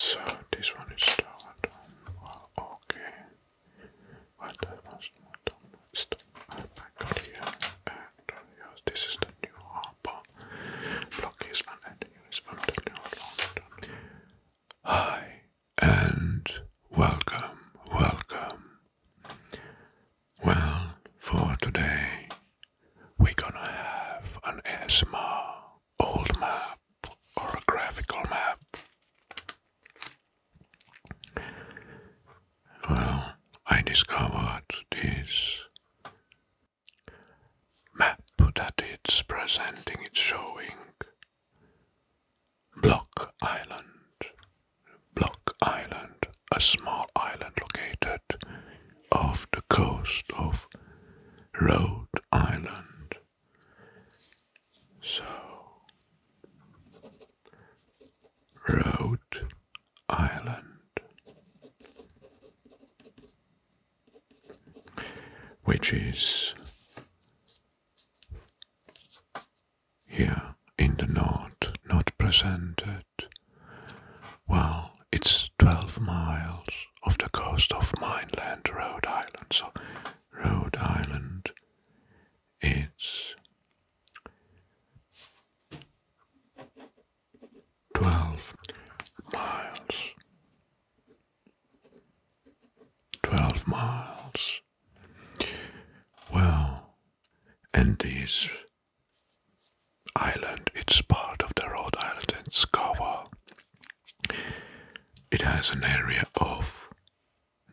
So this one is start on well okay. What well, I must done back here and uh, this is the new harbor. Block is not the new Hi and welcome, welcome. Well, for today, we're gonna have an ASMR old map or a graphical map. Well, I discovered this map that it's presenting, it's showing Block Island. Block Island, a small island located off the coast of Rhode Island. So, Rhode Island, which is here in the north, not presented. Well, it's 12 miles of the coast of mainland Rhode Island. So, Rhode Island It's 12 miles. 12 miles. Well, and this island, it's part of the Rhode Island and Scour it has an area of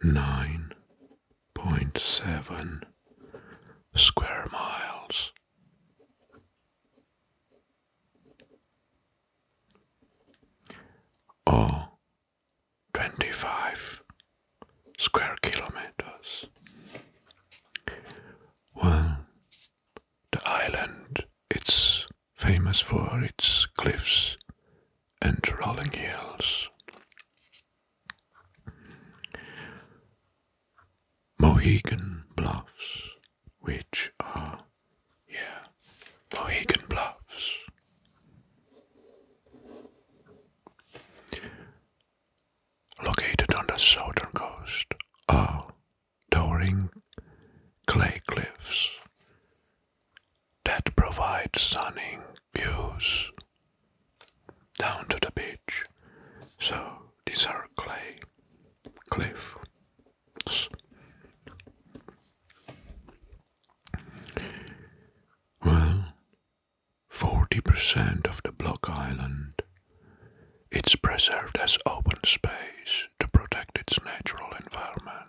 9.7 square miles. Or 25 square kilometers. Well, the island, it's famous for its cliffs and rolling hills. Mohegan Bluffs, which are, yeah, Mohegan Bluffs. Located on the southern coast are towering clay cliffs that provide stunning views down to the beach. So these are clay cliffs. Well, 40% of the block island it's preserved as open space to protect its natural environment.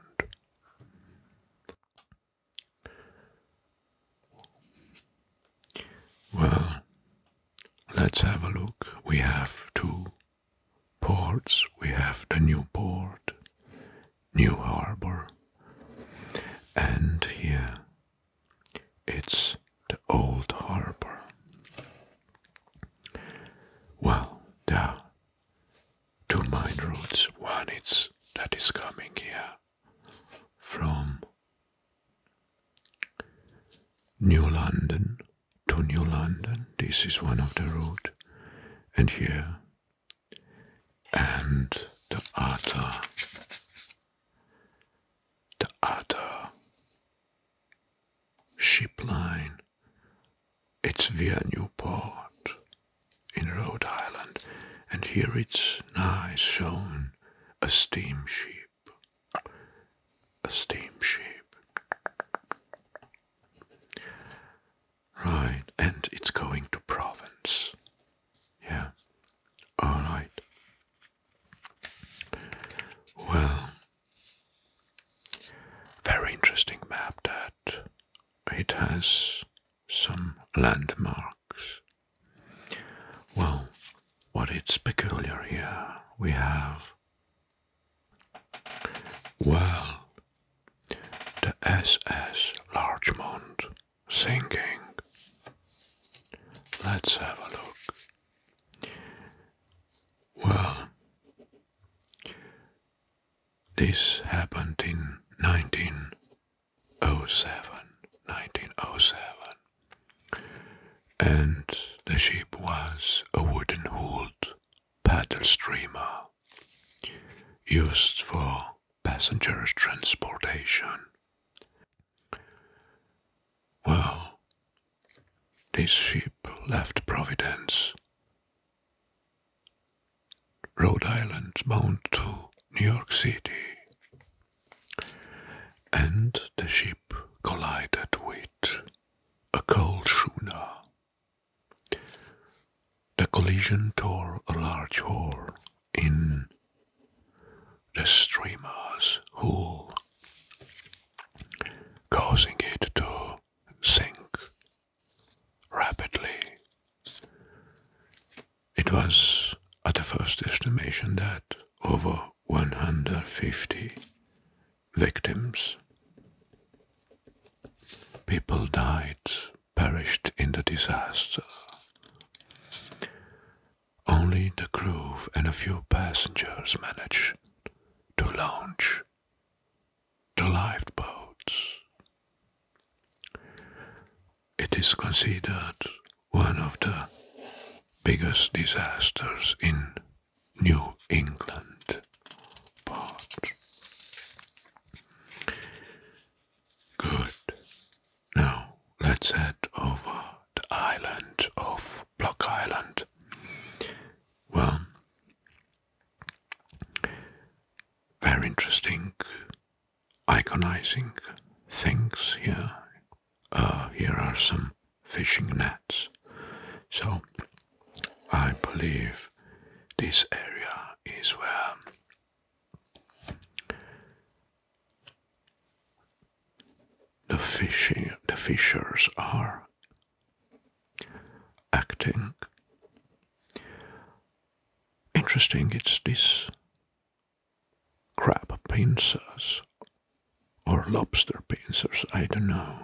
Well, let's have a look. We have two ports. We have the new port, New Harbor, and here it's the old harbor. Well, there are two main routes. One is that is coming here from New London to New London. This is one of the route, and here, and the other, the other ship line it's via Newport in Rhode Island, and here it's nice shown a steamship. A steamship. Right, and it's going to Province, Yeah. Alright. Well, very interesting map that it has some landmarks. Well, what is peculiar here? We have, well, the SS Larchmont sinking. Let's have a look. Well, this happened in 1907. 1907. And the ship was a wooden hulled paddle streamer used for passengers' transportation. Well, this ship left Providence, Rhode Island, bound to New York City, and the ship collided with a coal schooner. The collision tore a large hole in the streamer's hull causing it to sink rapidly. It was at the first estimation that over 150 victims, people died, perished in the disaster. Only the crew and a few passengers managed to launch the lifeboats. It is considered one of the biggest disasters in New England part. Good. Now let's head over the island of Block Island well, very interesting iconizing things here. Uh, here are some fishing nets. So, I believe this area is where the fishing the fishers are acting. Interesting, it's these crab pincers or lobster pincers, I don't know,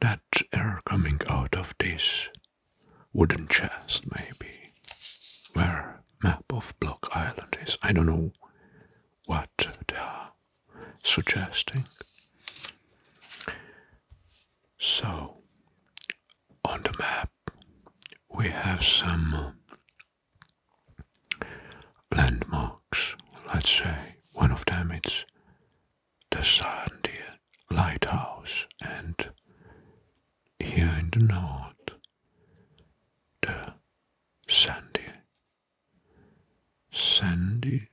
that air coming out of this wooden chest, maybe, where map of Block Island is. I don't know what they are suggesting. So, on the map, we have some uh, landmarks. Let's say one of them is the Sandia Lighthouse, and here in the north, the Sandy Sandy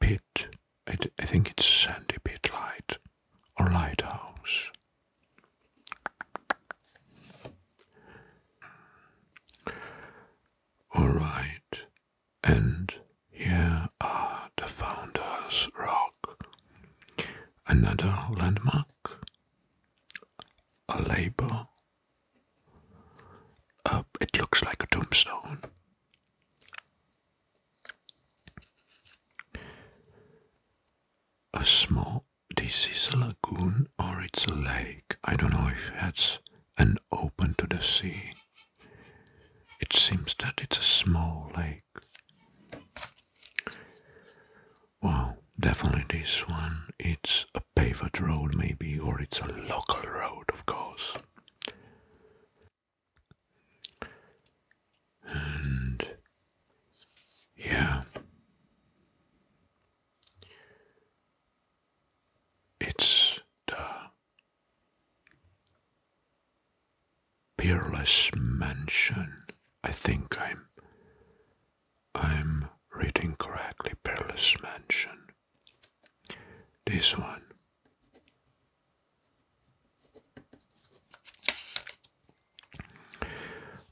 Pit. I, think it's Sandy Pit Light or Lighthouse. Alright, and here are the Founders Rock. Another landmark, a label it looks like a tombstone. A small, this is a lagoon or it's a lake. I don't know if it's an open to the sea. It seems that it's a small lake. Wow, definitely this one. It's a a paved road maybe or it's a local road of course and yeah it's the peerless mansion i think i'm i'm reading correctly peerless mansion this one.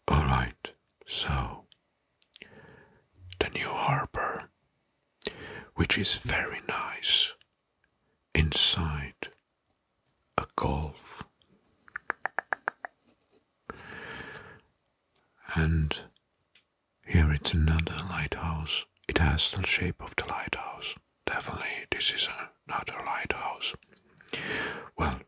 All right, so the new harbor, which is very nice inside a golf. And here it's another lighthouse. It has the shape of the lighthouse. Definitely, this is another lighthouse. Well,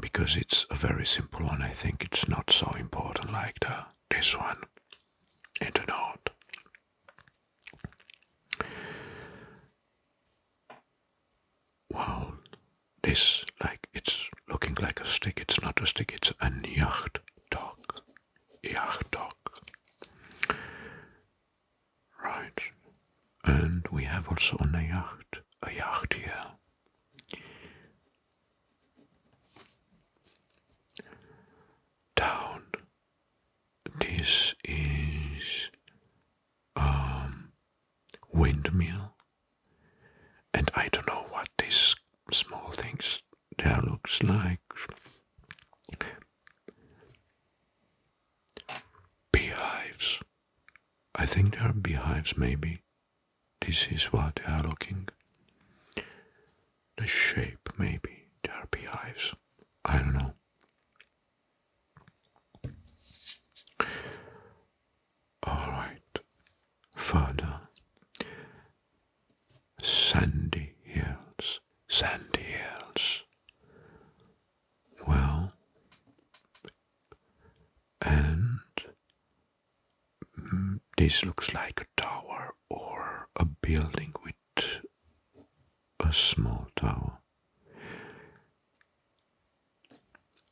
because it's a very simple one, I think it's not so important like the this one in the north. Wow, this like it's looking like a stick. It's not a stick, it's a yacht dog. Yacht dog. Right. And we have also on a yacht, a yacht here. This is um windmill. And I don't know what these small things there looks like. Beehives. I think there are beehives maybe. This is what they are looking. The shape maybe. there are beehives. I don't know. All right, further. Sandy hills, sandy hills. Well, and mm, this looks like a tower or a building with a small tower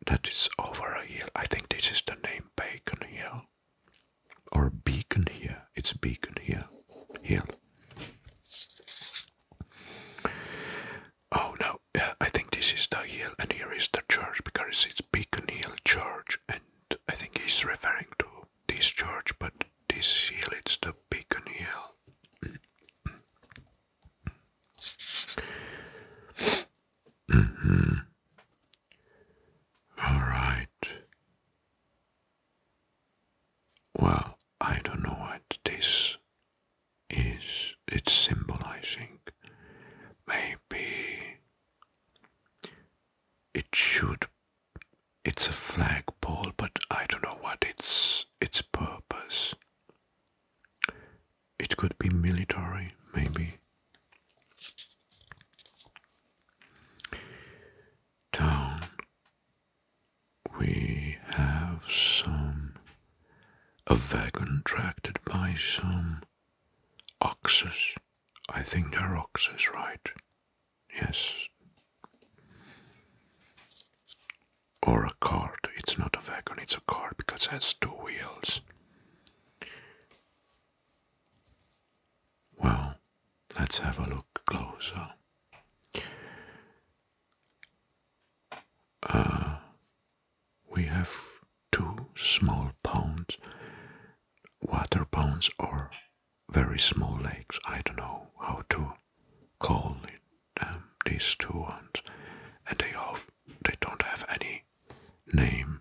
that is over a hill. I think this is the name Bacon Hill or a beacon here. It's a beacon here. Here. Oh no, I think this is the hill, and here is the church because it's Beacon Hill Church, and I think he's referring to this church, but this hill it's the Beacon Hill. Mm-hmm. All right. Well, I don't know what this is. It's symbolizing. Maybe it should. It's a flagpole, but I don't know what its its purpose. It could be military, maybe. Down we have some a wagon tracted by some oxes. I think they're oxes, right? Yes. Or a cart. It's not a wagon, it's a cart because it has two wheels. Well, let's have a look closer. Uh, we have two small ponds, water ponds, or very small lakes. I don't know how to call it, um, these two ones, and they have they don't have any name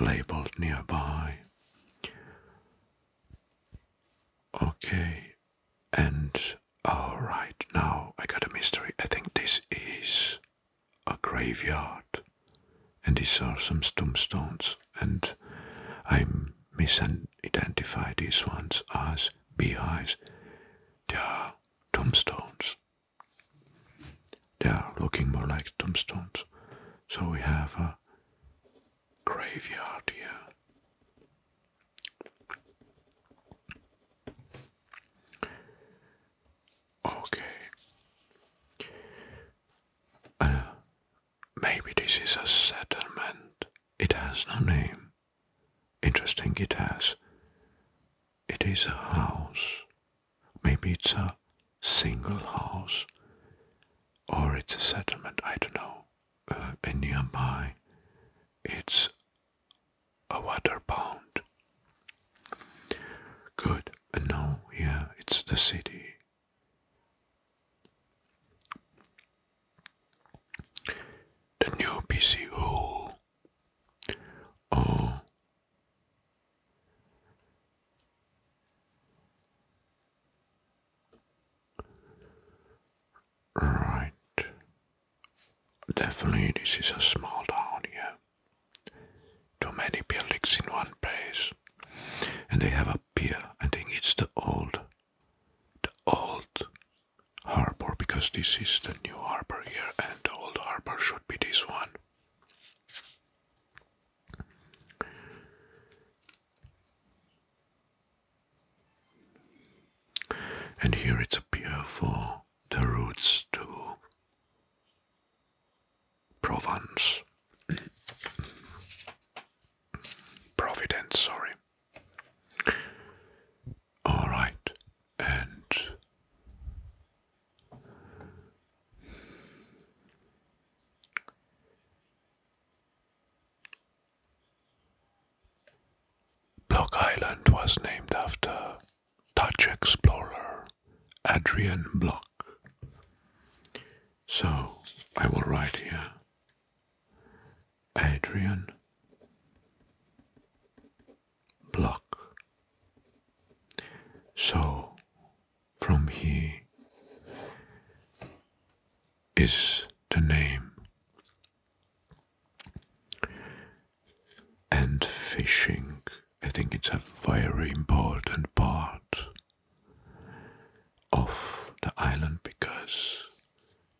labeled nearby. Okay, and alright, now I got a mystery. I think this is a graveyard, and he saw some tombstones, and I misidentify these ones as beehives. They are tombstones, they are looking more like tombstones. So we have a graveyard here. Okay. Uh, maybe this is a settlement. It has no name. Interesting, it has. It is a house Maybe it's a single house or it's a settlement, I don't know. Uh, nearby it's a water pond. Good, and now yeah, it's the city. The new PC hall Oh, right. Definitely, this is a small town here. Too many buildings in one place, and they have a pier. I think it's the old, the old harbor because this is the new harbor here, and the old harbor should be this one. And here it's a pier for the routes to Provence. Providence, sorry. Alright, and Block Island was named after Dutch explorer Adrian Block. So I will write here Adrian block. So from here is the name. And fishing, I think it's a very important part of the island because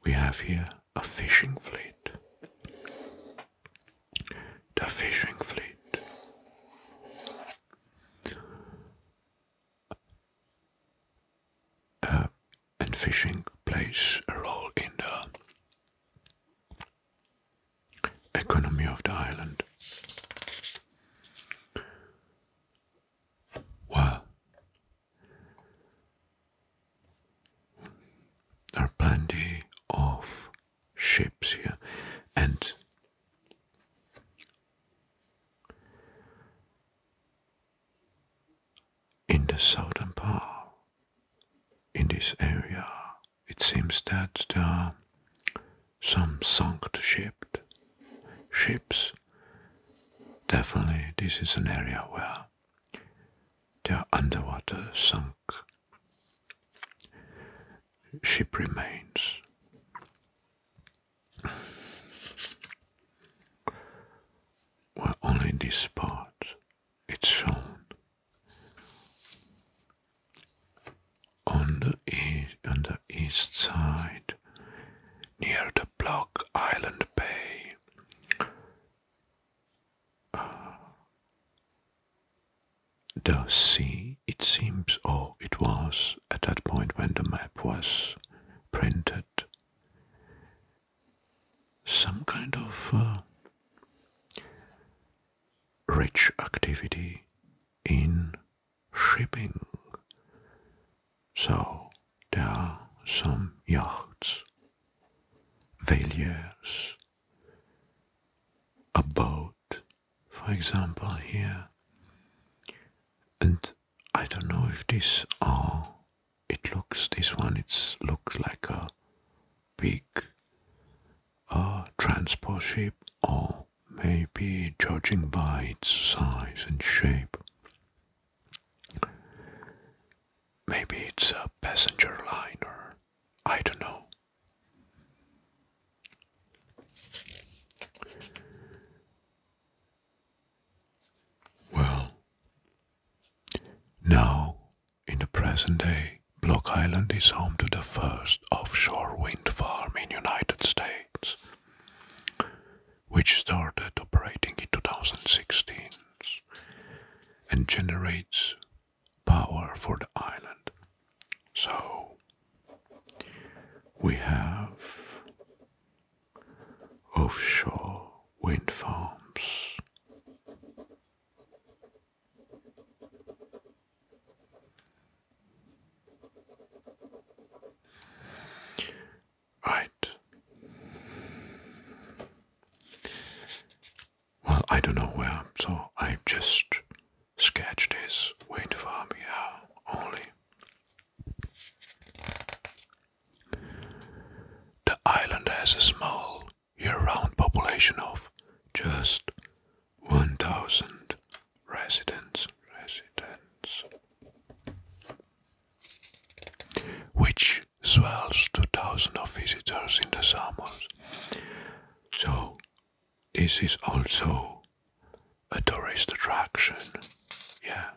we have here a fishing fleet the fishing fleet. and fishing plays a role in the economy of the island. there are plenty of Ships here. And in the southern part, in this area, it seems that there are some sunk shaped ships. Definitely, this is an area where there are underwater sunk ship remains. Well, only this part it's shown on the east side near the Block Island Bay uh, the sea, it seems, or it was at that point when the map was printed, some kind of uh, rich activity in shipping. So there are some yachts, valiers, a boat, for example, here. And I don't know if this are. Oh, it looks this one. It looks like a big uh, transport ship, or maybe judging by its size and shape. Maybe it's a passenger liner. I don't know. Well, now in the present day, Block Island is home to the first offshore wind farm in United States, which started operating in 2016 and generates power for the island. So we have offshore wind farms. Right. Well, I don't know where, so I just sketched this wind farm here only. The island has a small year-round population of just 1,000 residents, residents, which swells to thousands of visitors in the summers. So, this is also a tourist attraction. Yeah.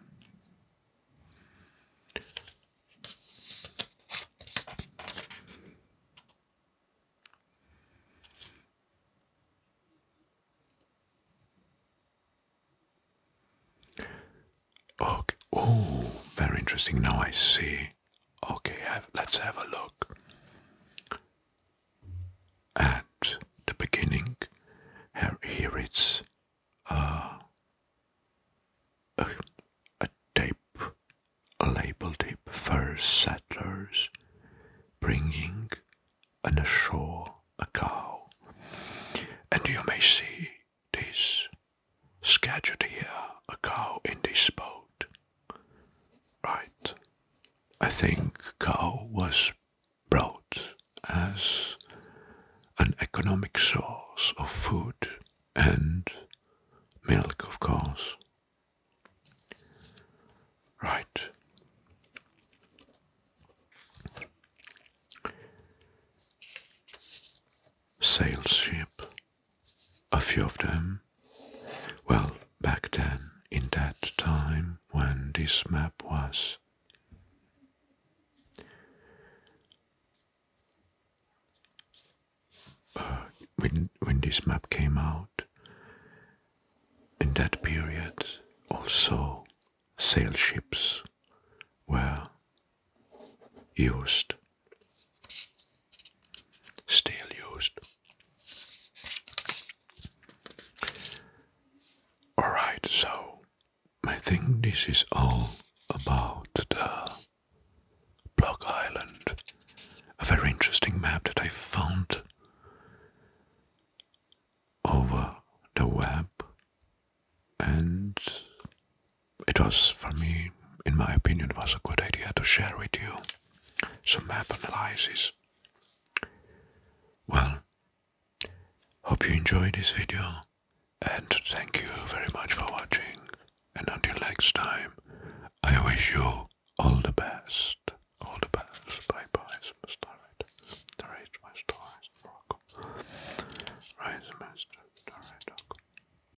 Okay. Oh, very interesting. Now I see. Okay, let's have a look at the beginning. Here, it's uh, a, a tape, a label tape, first settlers bringing on ashore a cow. And you may see this Scheduled here a cow in this boat. Right. I think cow was brought as an economic source of food and milk, of course. Right. Sail ship a few of them. Well, back then, in that time when this map was uh, when when this map came out in that period, also sail ships were used Still used. Alright, so I think this is all about the Block Island. A very interesting map that I found over the web and it was for me, in my opinion, was a good idea to share with you some map analysis. Well, hope you enjoyed this video and thank you very much for watching and until next time I wish you all the best. All the best. Bye bye superstar. Alright, my star Right, master.